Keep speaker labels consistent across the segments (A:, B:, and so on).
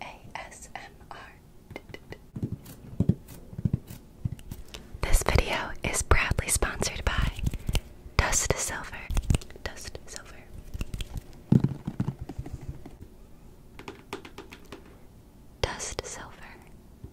A: ASMR. This video is proudly sponsored by Dust Silver. Dust Silver. Dust Silver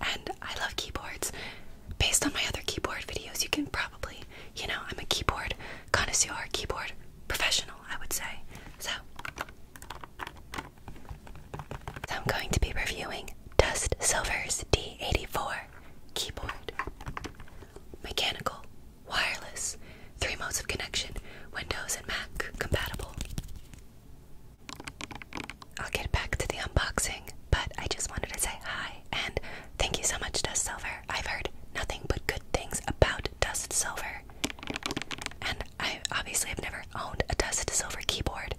A: and I love keyboards. Based on my other keyboard videos, you can probably, you know, I'm a keyboard connoisseur, keyboard professional, I would say. So, I'm going to be reviewing Dust Silver's D84 keyboard. Mechanical, wireless, three modes of connection, Windows and Mac compatible. I'll get back to the unboxing, but I just wanted to say hi and thank you so much, Dust Silver. I've heard nothing but good things about Dust Silver. And I obviously have never owned a Dust Silver keyboard.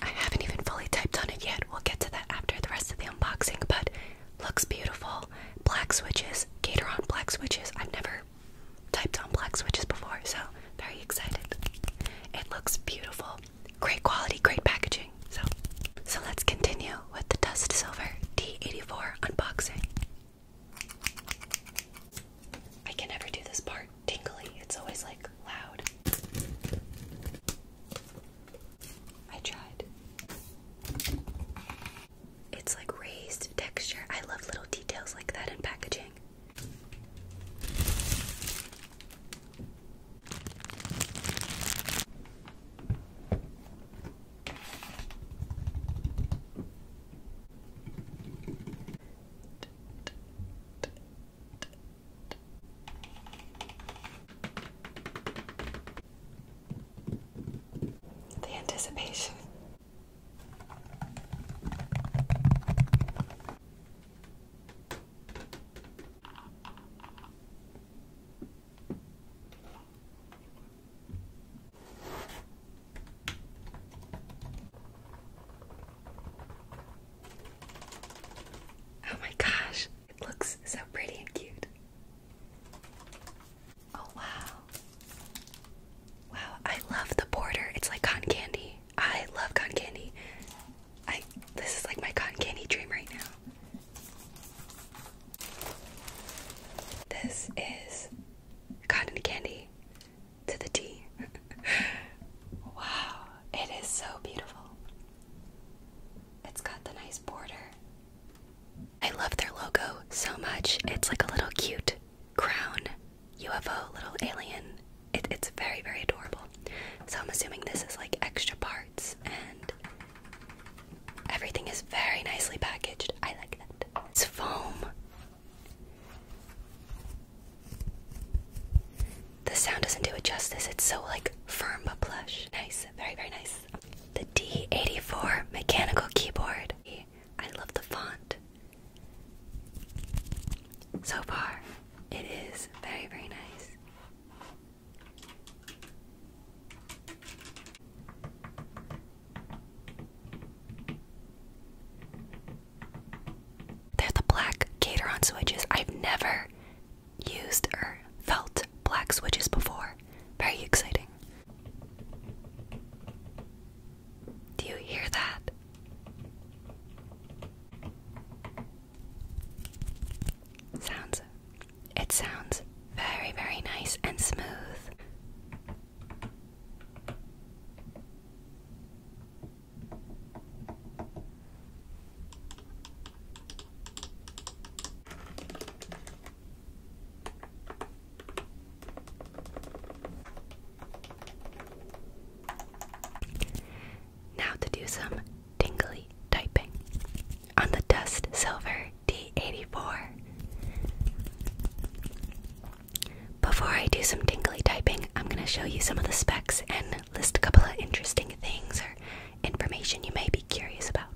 A: I haven't even fully typed on it yet. We'll get to that after the rest of the unboxing, but looks beautiful. Black switches, Gatoron black switches. I've never typed on black switches before, so very excited. It looks beautiful great quality, great packaging. So, so let's continue with the Dust Silver T84 unboxing. I can never do this part tingly. It's always like loud. I tried. It's like raised texture. I love little details like that in packaging. The anticipation. Oh my gosh, it looks so pretty and cute. Oh wow. Wow, I love the border. It's like cotton candy. I love cotton candy. I this is like my cotton candy dream right now. This is cotton candy to the T. wow, it is so beautiful. It's got the nice border. I love their logo so much. It's like a little cute crown UFO little alien. It, it's very, very adorable. So I'm assuming this is like extra parts and everything is very nicely packaged. I like that. It's foam. The sound doesn't do it justice. It's so like firm but plush. Nice. Very, very nice. The D84 mechanical keyboard. I love the font. So far, it is very, very nice. They're the black Cateron switches. I've never used or felt black switches before. Very exciting. Do you hear that? Sounds. It sounds very, very nice and smooth. Now to do some tingly typing on the Dust Silver D84. Before I do some tingly typing, I'm going to show you some of the specs and list a couple of interesting things or information you may be curious about.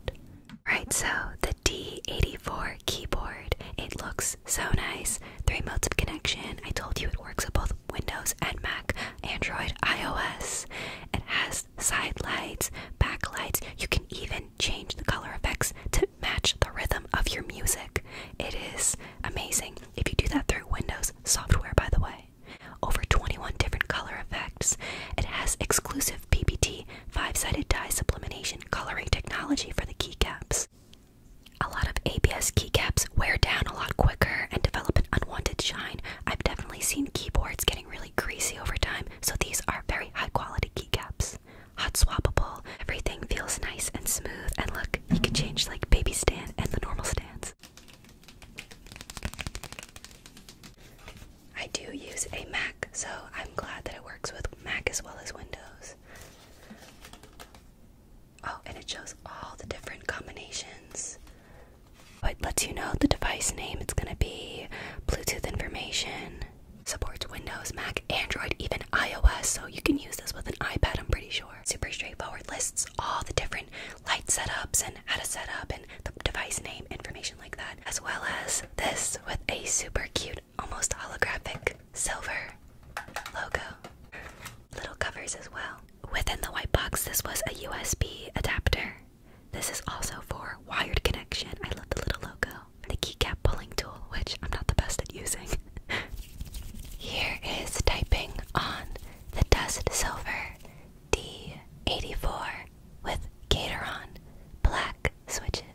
A: Right, so the D84 keyboard, it looks so nice three modes of connection. I told you it works with both Windows and Mac, Android, iOS. It has side lights, back lights. You can even change the color effects to match the rhythm of your music. It is amazing if you do that through Windows software, by the way. Over 21 different color effects. It has exclusive PPT five sided dye sublimation coloring technology for the keycaps. A lot of ABS keycaps wear down a lot quicker and develop an unwanted shine. I've definitely seen keyboards getting really greasy over time, so these are very high quality keycaps. Hot swappable, everything feels nice and smooth. And look, you can change like baby stand and the normal stands. I do use a Mac, so I'm glad that it works with Mac as well as Windows. Oh, and it shows all the different combinations. But lets you know the device name. It's going to be Bluetooth information. Supports Windows, Mac, Android, even iOS. So you can use this with an iPad, I'm pretty sure. Super straightforward. Lists all the different light setups and how to set up and the device name information like that. As well as this with a super cute almost holographic silver logo. Little covers as well. Within the white box, this was a USB adapter. This is also for wired connection. I love the little logo. The keycap pulling tool, which I'm not the best at using. Here is typing on the Dust Silver D84 with Cateron Black switches.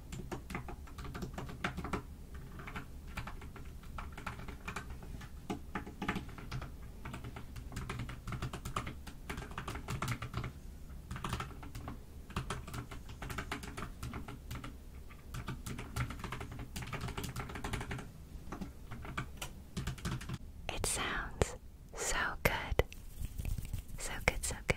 A: It sounds so good. So good, so good.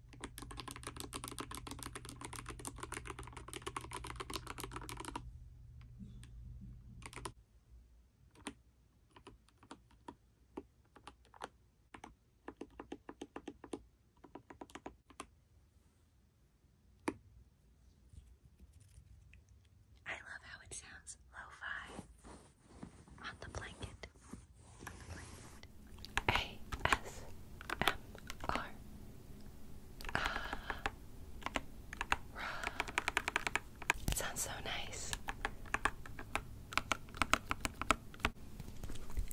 A: I love how it sounds lo-fi on the blanket. ASMR. Ah, sounds so nice.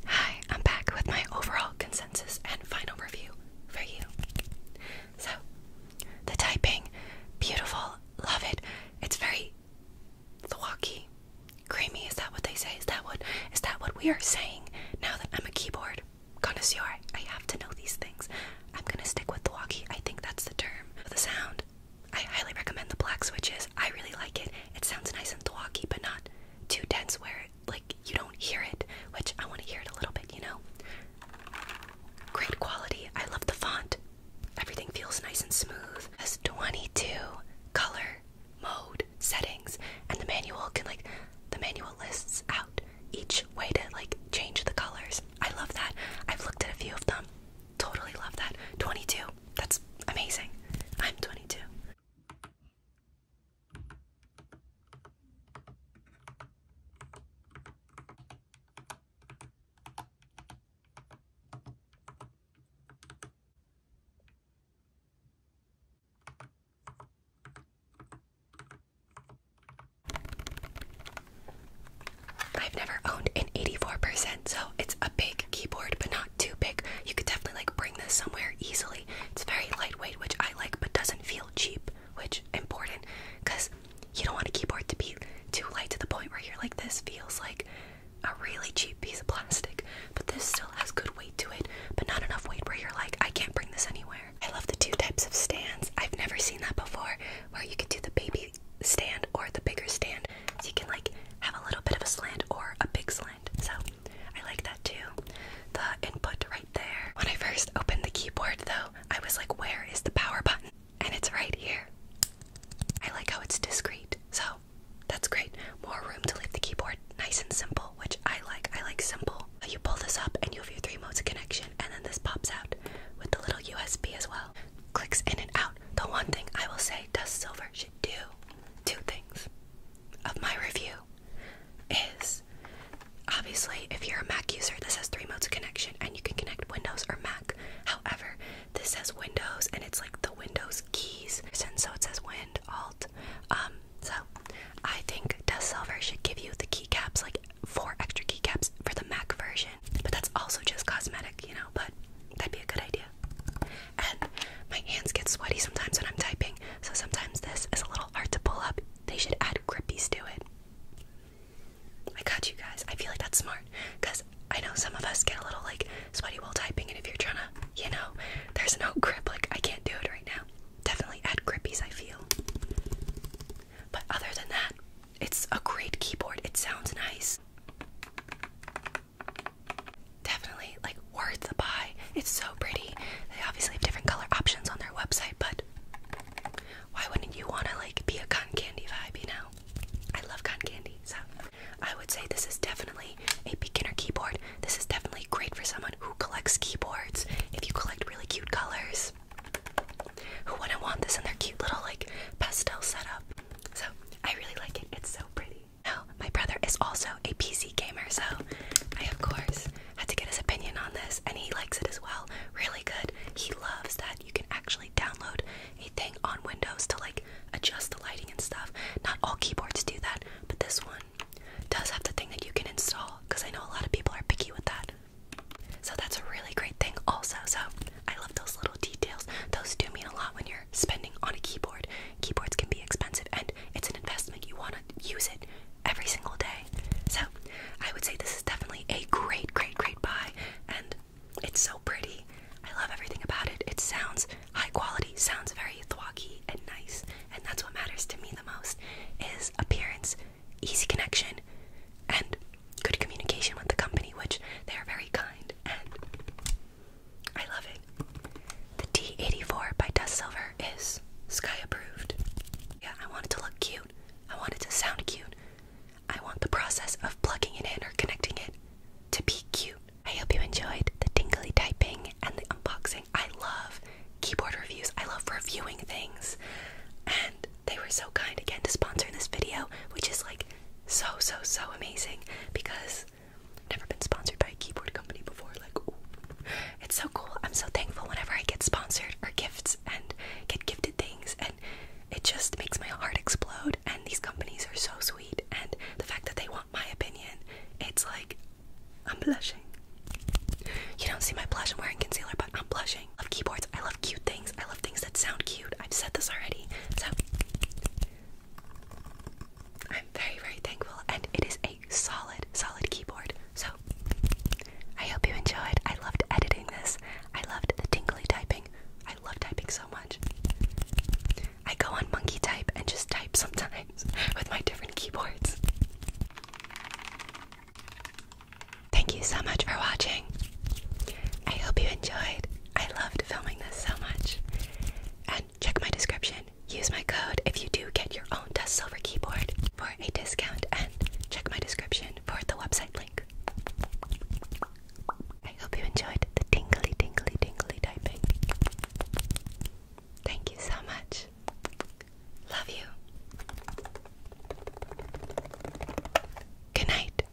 A: Hi, I'm back with my overall consensus and final review for you. So, the typing, beautiful, love it. It's very thwacky, Creamy, is that what they say? Is that what is that what we are saying? Now that I'm a keyboard connoisseur, I have to know these things. I'm gonna stick with the walkie. I think that's the term for the sound. I highly recommend the black switches. I really like it. It sounds nice and thwacky, but not too dense where it, like you don't hear it, which I want to hear it a little bit, you know. Great quality. I love the font. Everything feels nice and smooth. Has 22 color mode, settings, and the manual can like the manual lists out each way to like change the colors. I love that. I've looked at a few of them. Totally love that. 22. That's amazing. I'm 22. I've never owned an 84%, so it's a big keyboard, but not too big. You could definitely like bring this somewhere easily. It's very lightweight, which I like, but doesn't feel cheap, which important because you don't want a keyboard to be too light to the point where you're like, this feels like a really cheap piece of plastic, but this still has good weight to it, but not enough weight where you're like, I can't bring this anywhere. I love the two types of stands. I've never seen that before, where you could do the baby stand or the bigger stand. So you can like have a little bit of a slant or a big slant. So I like that too. The input right there. When I first opened the keyboard though, I was like, where is the power button? And it's right here. I like how it's discreet. So Oh, that's great. More room to leave the keyboard. Nice and simple, which I like. I like simple. Oh, you pull this up and you have your three modes of connection, and then this pops out with the little USB as well. Clicks in and out. The one thing I will say Dust Silver should do two things of my review is obviously if you're a Mac user, this has three modes of connection and you can connect Windows or Mac. However, this says Windows, and it's like the Windows keys. And so it says Wind Alt. Um, so I think Dust Silver should give you the keycaps, like four extra keycaps for the Mac version. But that's also just cosmetic, you know. But that'd be a good idea. And my hands get sweaty sometimes when I'm typing, so sometimes this is a little hard to pull up. They should add grippies to it. I got you guys. I feel like that's smart because I know some of us get a little like sweaty while typing, and if you're trying to, you know, there's no grip, like I can't do it right now. Definitely add grippies, I feel. But other than that, it's a great keyboard. It sounds nice. Definitely like worth the buy. It's so pretty. They obviously have different color options on their website, but why wouldn't you want to like be a cotton candy vibe, you know? I love cotton candy, so I would say this is definitely a beginner keyboard. This is definitely great for someone who collects keyboards. If you collect really cute colors, who wouldn't want this in their cute little like pastel setup? So I really like it. It's so pretty. Now my brother is also a PC gamer, so I of course had to get his opinion on this, and he likes it as well. Really good. He loves that you can actually download a thing on Windows to like adjust the lighting and stuff. Not all keyboards do that, but this one does have the thing that you can install because I know a lot of people are picky with that. So that's a really great thing, also. So I love those little details. Those do mean a lot when you're spending on a keyboard. Keyboards can be expensive and it's an investment. You want to use it every single day. So I would say this is definitely a great, great, great buy. And it's so pretty. I love everything about it. It sounds high quality, sounds very thwacky and nice, and that's what matters to me the most is appearance, easy connection, and good communication with the company, which they are very kind and I love it. The T84 by Dust Silver is sky approved. Yeah, I want it to look cute. I want it to sound cute. I want the process of plugging it in or connecting it to be cute. I hope you enjoyed the tingly typing and the unboxing. I love keyboard reviews, I love reviewing things, and they were so kind again to sponsor this video, which is like so, so, so amazing because I've never been sponsored by a keyboard company before. Like, it's so cool. I'm so thankful whenever I get sponsored or gifts and get gifted things it just makes my heart explode and these companies are so sweet and the fact that they want my opinion it's like i'm blushing you don't see my blush i'm wearing concealer but i'm blushing i love keyboards i love cute things i love things that sound cute i've said this already so i'm very very thankful and it is a solid solid keyboard so i hope you enjoyed i loved editing this i loved the tingly typing I love typing so much. I go on monkey type and just type sometimes with my different keyboards. Thank you so much for watching. I hope you enjoyed. I loved filming this so much. And check my description. Use my code if you do get your own Dust Silver keyboard for a discount. And check my description for the website link. I hope you enjoyed the tingly, tingly, tingly typing. Thank you so much. Love you. Good night.